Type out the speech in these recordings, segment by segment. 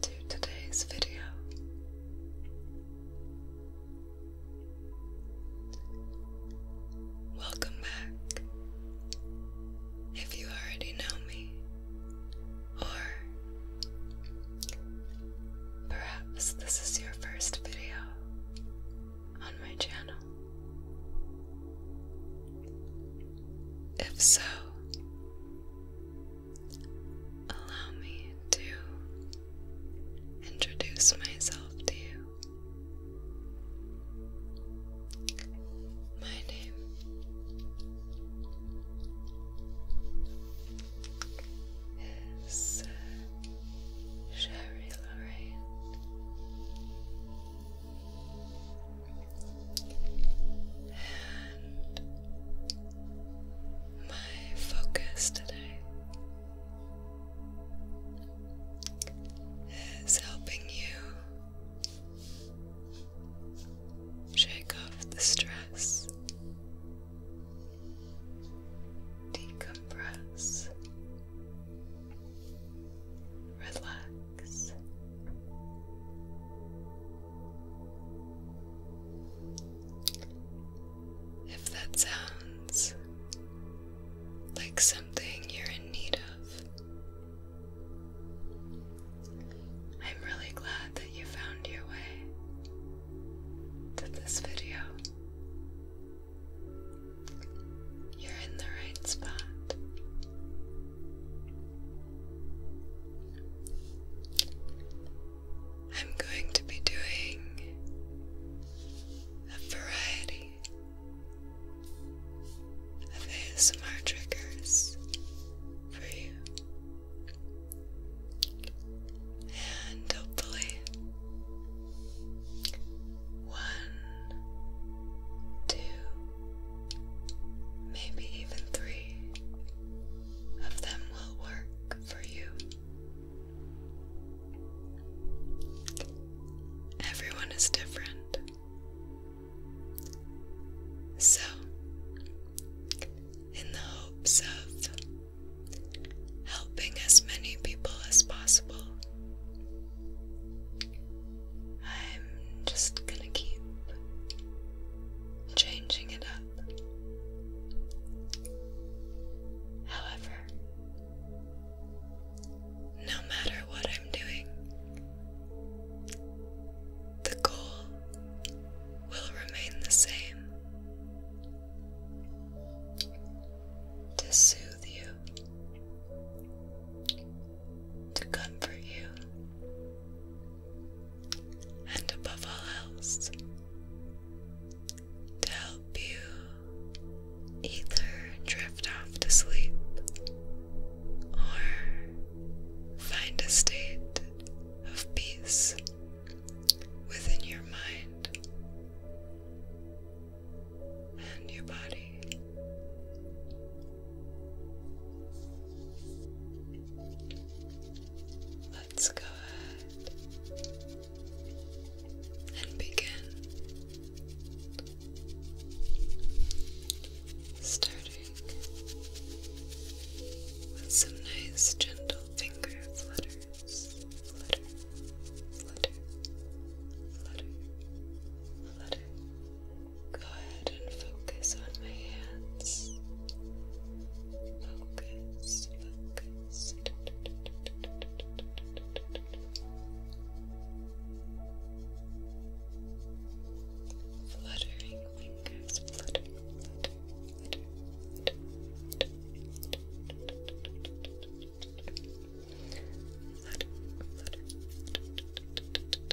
to today's video. Welcome back. If you already know me, or perhaps this is your first video on my channel. If so, allow me to introduce myself to you. My name is uh, Sherry Lorraine my focus today is helping you shake off the stress, decompress, relax. If that sounds like something you're in need of, I'm really glad that you found your way to this video. You're in the right spot. I'm going to be doing a variety of ASMR triggers for you, and hopefully, one, two. Maybe even three of them will work for you. Everyone is different. So, in the hopes of helping as many people as possible, I'm just gonna keep changing it up. However, no matter what I'm doing, the goal will remain the same to soothe you, to comfort you, and above all else, to help you either drift off to sleep or find a state of peace within your mind and your body. Let's go ahead and begin. Starting with some nice gentle finger flutters. Flutter, flutter, flutter, flutter, Go ahead and focus on my hands. Focus, focus. Fluttering fingers,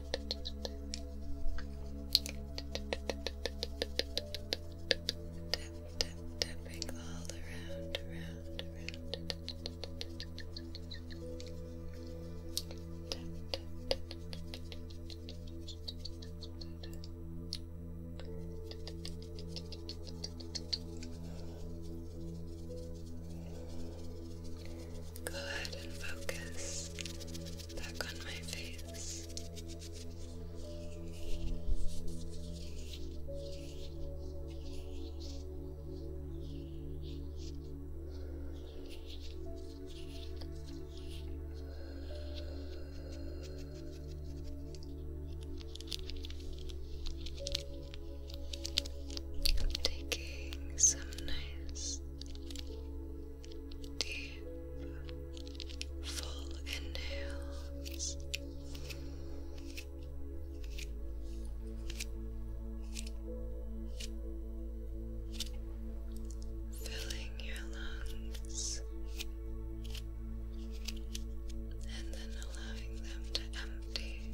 tap, tapping all around, around, around. Tap, tap, tap. Tap, Go ahead and focus back on my face. I'm taking some nice deep, full inhales. Filling your lungs and then allowing them to empty.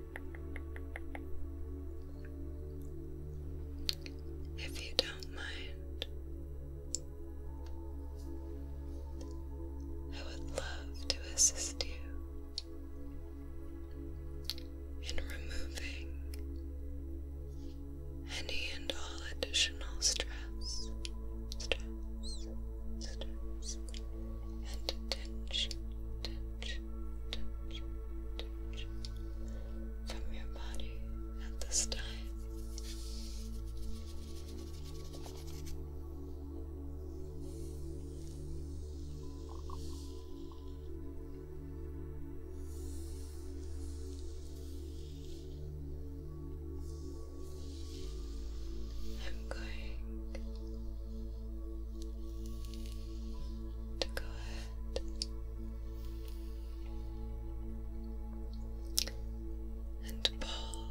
If you don't mind, I would love to assist you in removing any and all additional stress, and tension from your body at this time. I'm going to go and pull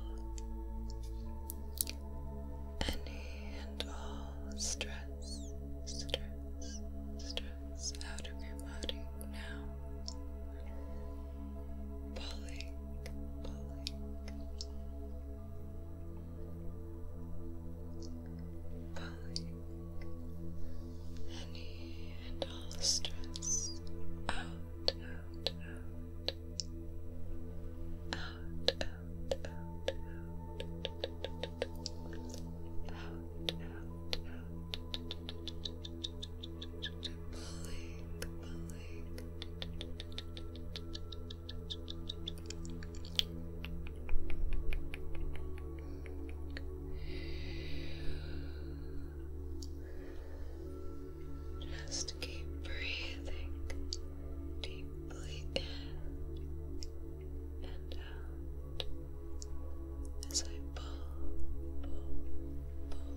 any and all stress, stress, stress out of your body now. Pulling, pulling pulling any and all stress out, out, out, out, out, out, out, out, out, out, pulling, pulling. Just keep breathing deeply in and out as I pull, pull, pull.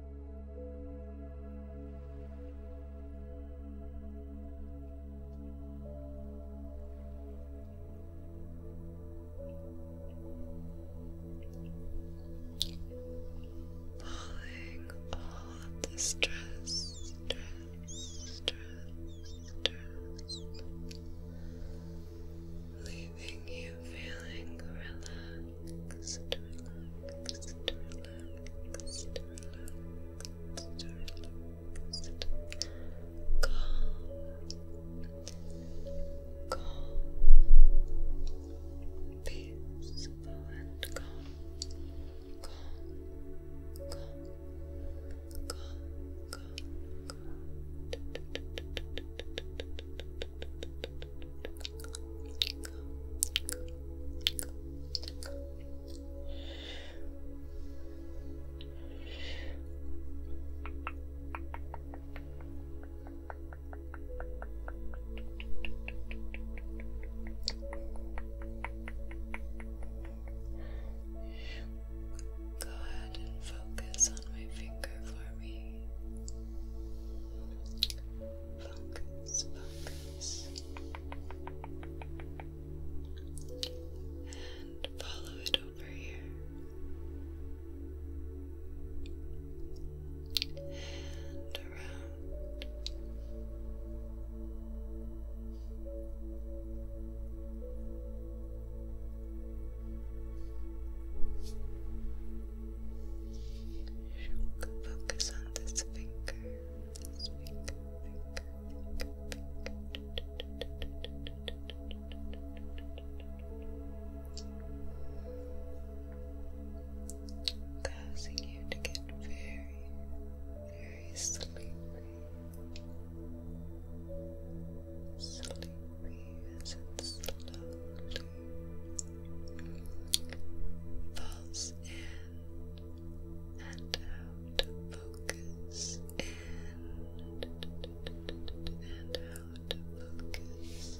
Falling all of the stress, leaving you feeling relaxed relax, to relax, to relax, to relax, to relax. Calm, calm, peaceful and calm, calm, calm, calm, calm, calm. Go ahead and focus on my finger for me focus, focus, and follow it over here. And around. Focus on this finger. Causing you to get very, very sleepy. Sleepy as it slowly Falls in and out, focus in and out, focus. Nice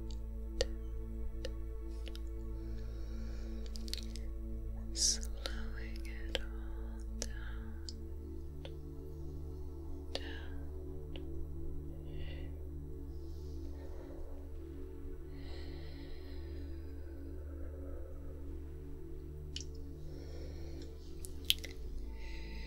down, slowing it all down, down. Down,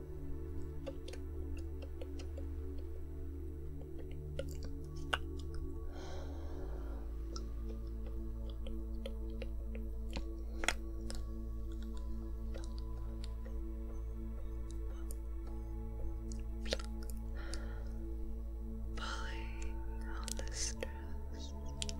Pulling all the stress, melting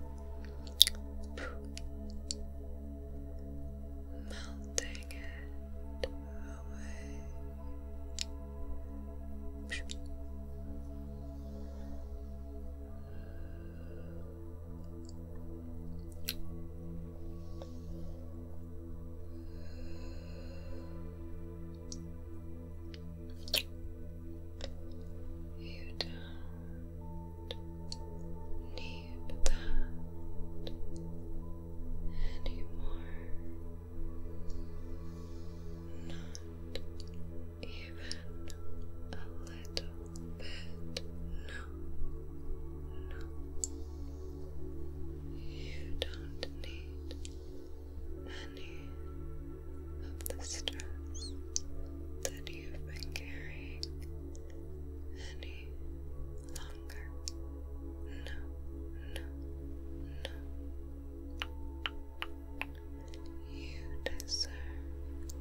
you don't need believe anymore. Not even a little bit. No, no. You don't need any of the stress that you've been carrying, any longer. No, no, no. You deserve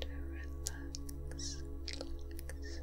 to relax, relax, relax. Relax.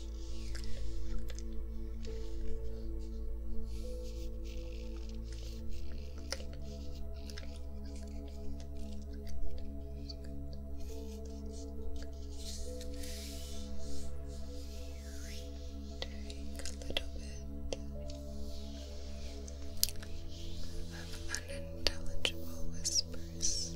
of unintelligible whispers.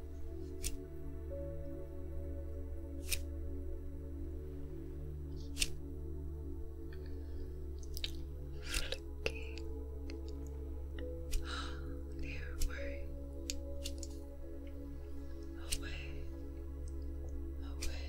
Flicking their way away, away, away.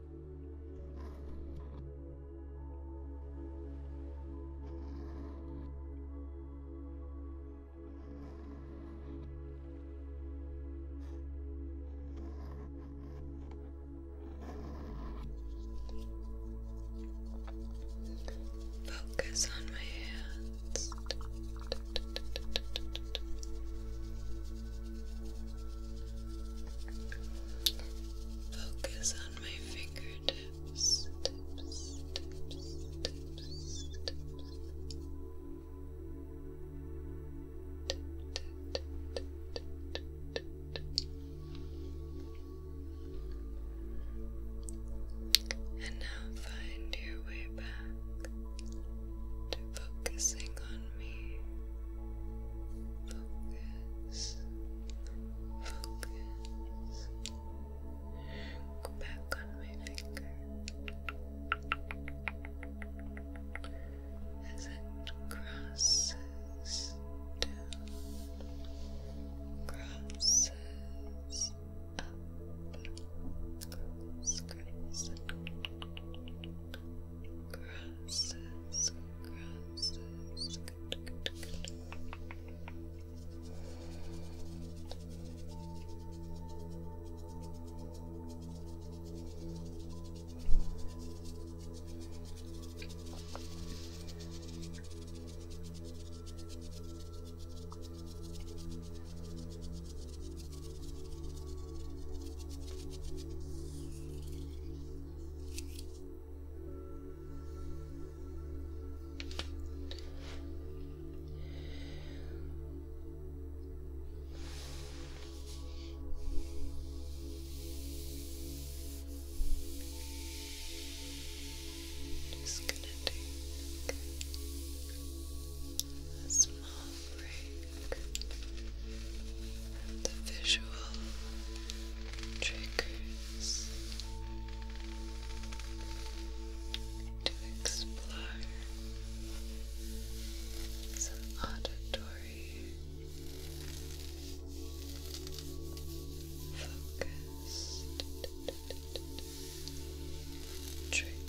Focus on my hands. Focus on my fingertips, And now find your way back to focusing focusing on me. Focus. Focus. Go back on my finger. As it crosses down, crosses up, cross, crosses, crosses. good, good. Good, just gonna take a small the visual triggers to explore some auditory focus triggers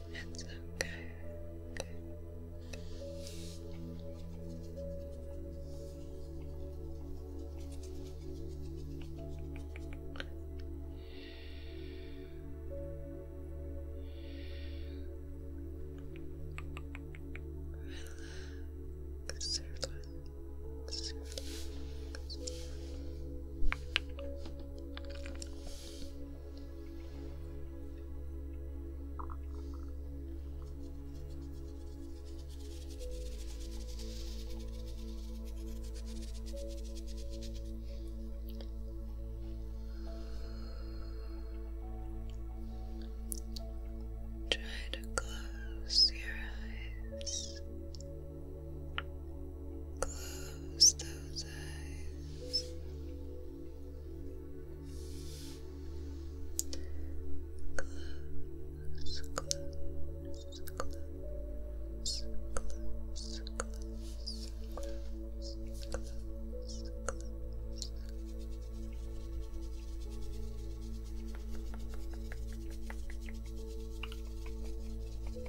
It's okay. okay. Relax, relax, relax. Try to close your eyes. Close those eyes. Close, close, close, close, close, close, close, close. Close,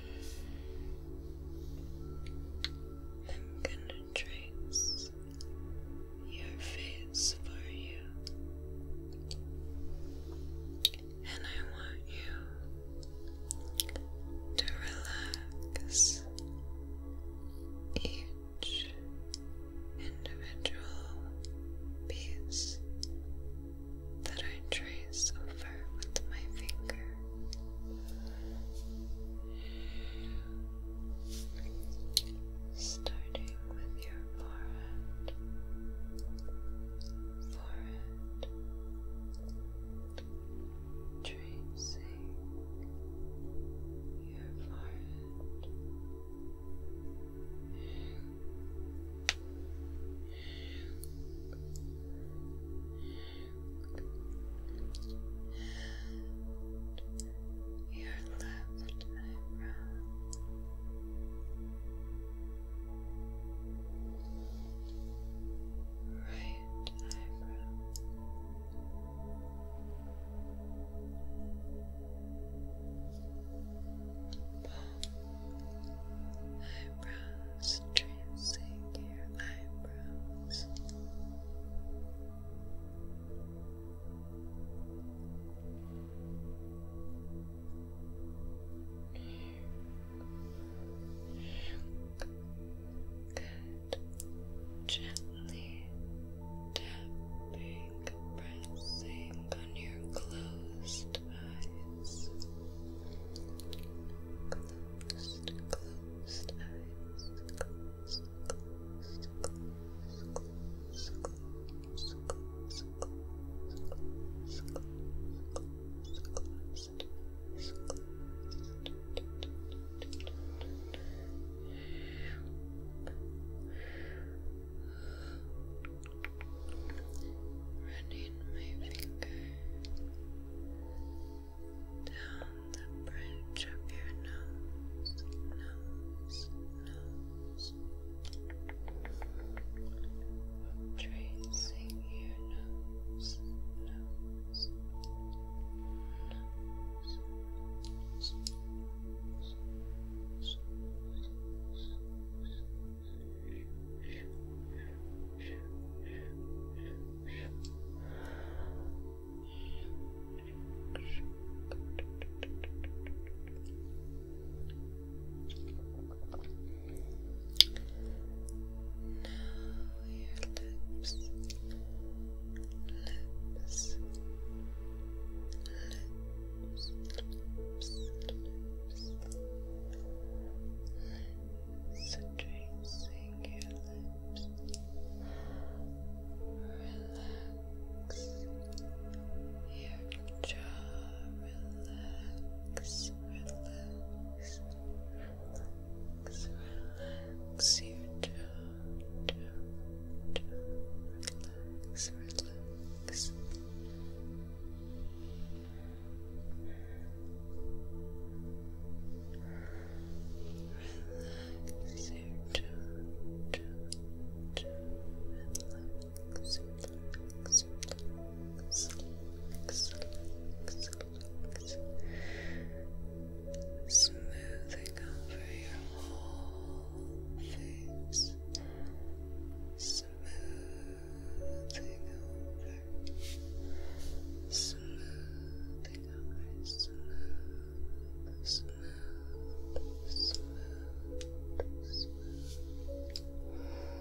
I'm gonna trace your face for you, and I want you to relax each individual piece that I trace over with my finger. Starting with your forehead, forehead, tracing your forehead. And your left eyebrow. Right eyebrow. Palm eyebrows, tracing your eyebrows. Good. Gently tapping, pressing on your clothes closed eyes. Closed, closed eyes. Close, close, close, close, close, close, close, close, close, closed eyes. Closed running my finger down the bridge of your nose, nose, nose, tracing your nose, nose, nose. Down lips, lips, lips, lips, lips. Tracing your lips, relax your jaw, relax, relax, relax, relax your jaw, jaw, jaw, relax, relax. Relax your jaw, jaw, jaw. Relax, relax, relax, relax, relax, relax. Smoothing over your whole face. Smoothing smoothing over, smoothing over, smooth, smooth, smooth, smooth. Relax,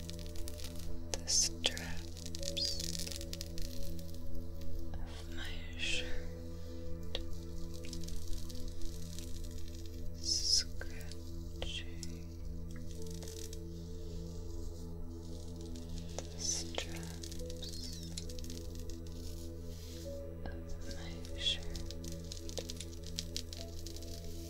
the straps of my shirt, scratching the straps of my shirt.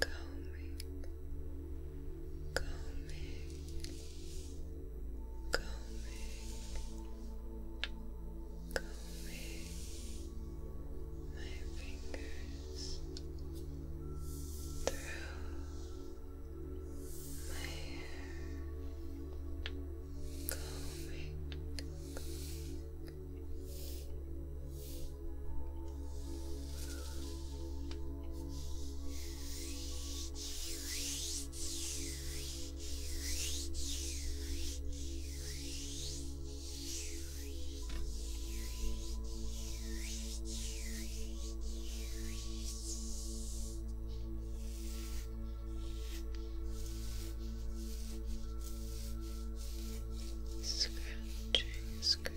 combing, combing, combing, combing my fingers through my hair. Combing, Scratching, scratching,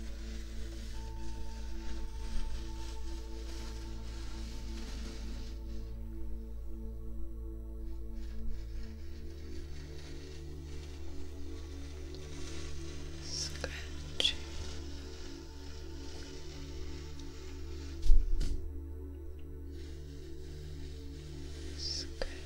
Scratching. Scratching.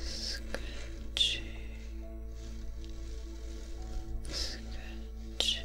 Scratching, scratching.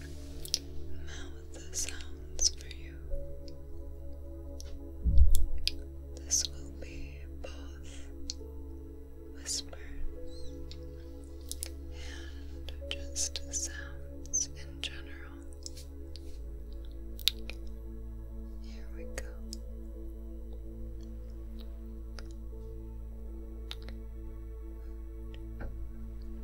mouth sounds for you. This will be both whispers and just sounds in general. Here we go.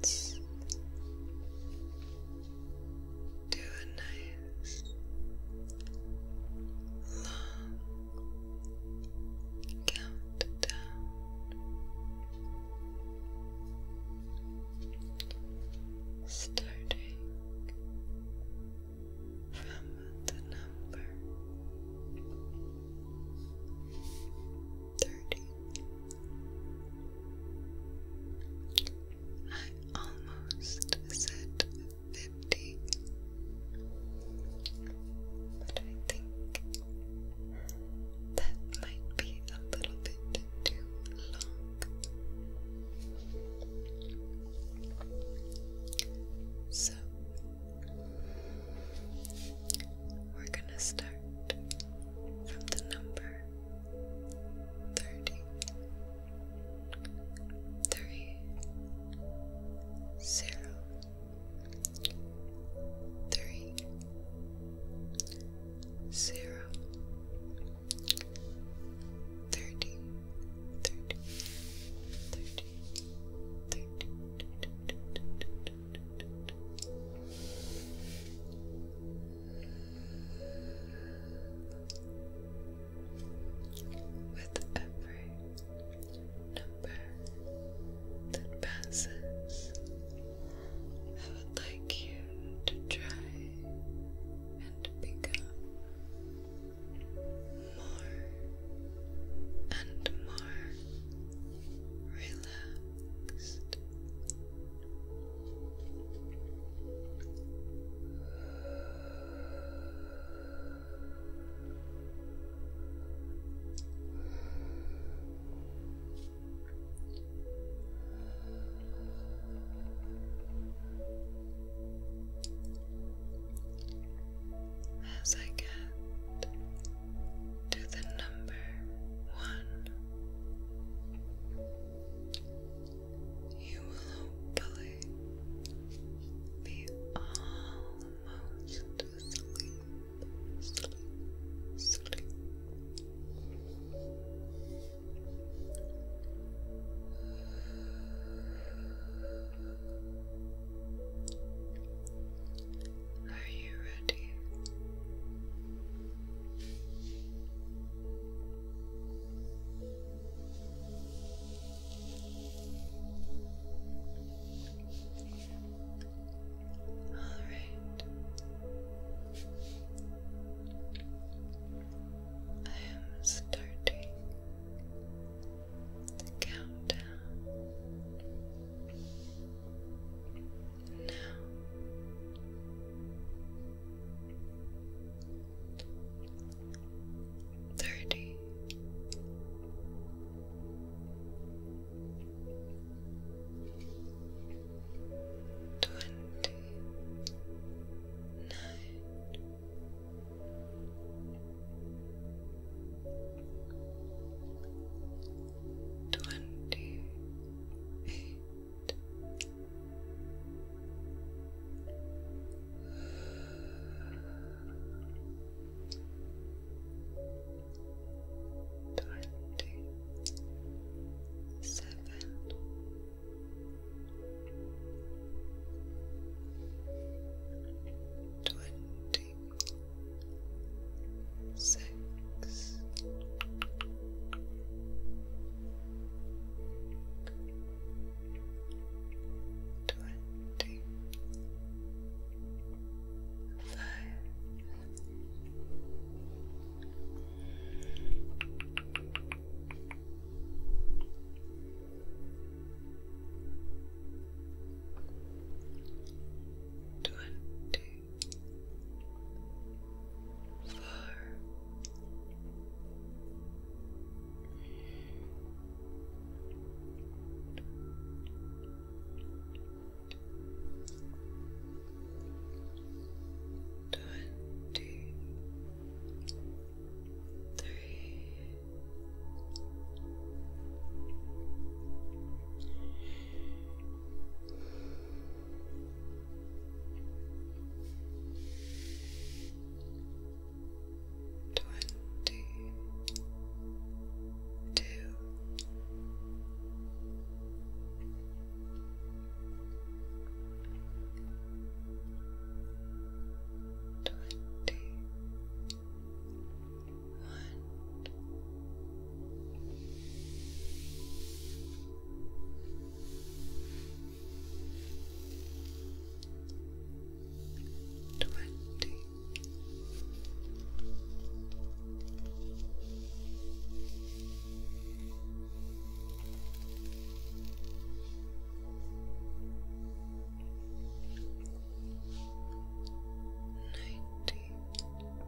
Let's do a nice long countdown. Starting from the number number thirty. I almost said fifty, but I think that might be a little bit too long. So we're gonna start from the number thirty three zero three zero thirty thirty thirty thirty thirty thirty thirty with every number that passes, I would like you to try and become more and more relaxed. As I get to the number one. You will hopefully be almost asleep, sleep, sleep. Are you ready? All right. I am starting the countdown. Now, thirty. Twenty nine twenty eight. Twenty seven, twenty Twenty six, twenty five, twenty twenty four. Twenty three Twenty two. Twenty Twenty. Nineteen.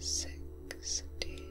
seventeen sixteen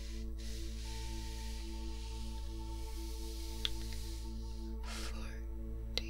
Forty thirty Forty-one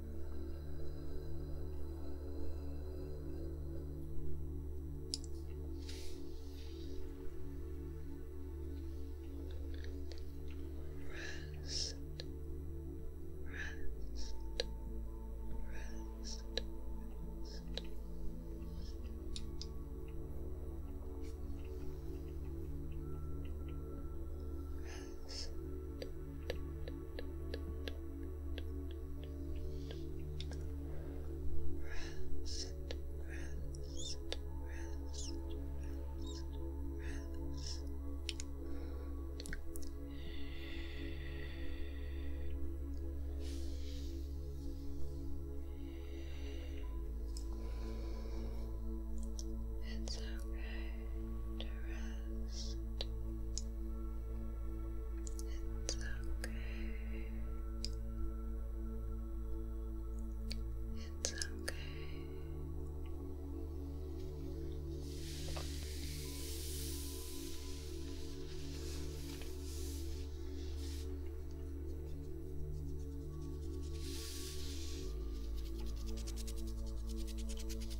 Rest, rest, rest, rest rest. Rest, rest, rest, rest, rest. It's okay to rest. It's okay. It's okay. It's okay.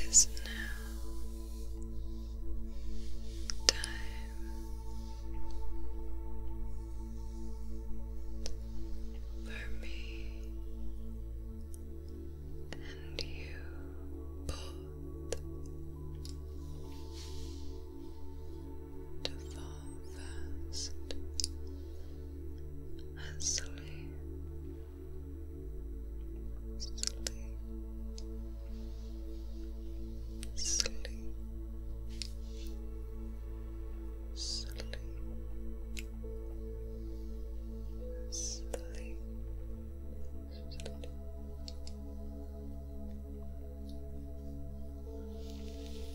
It is now time for me and you both to fall fast asleep, sleep, sleep, sleep, sleep. Sleep.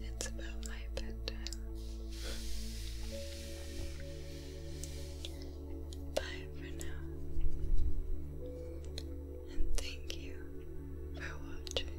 It's about my bedtime. Bye for now. And thank you for watching.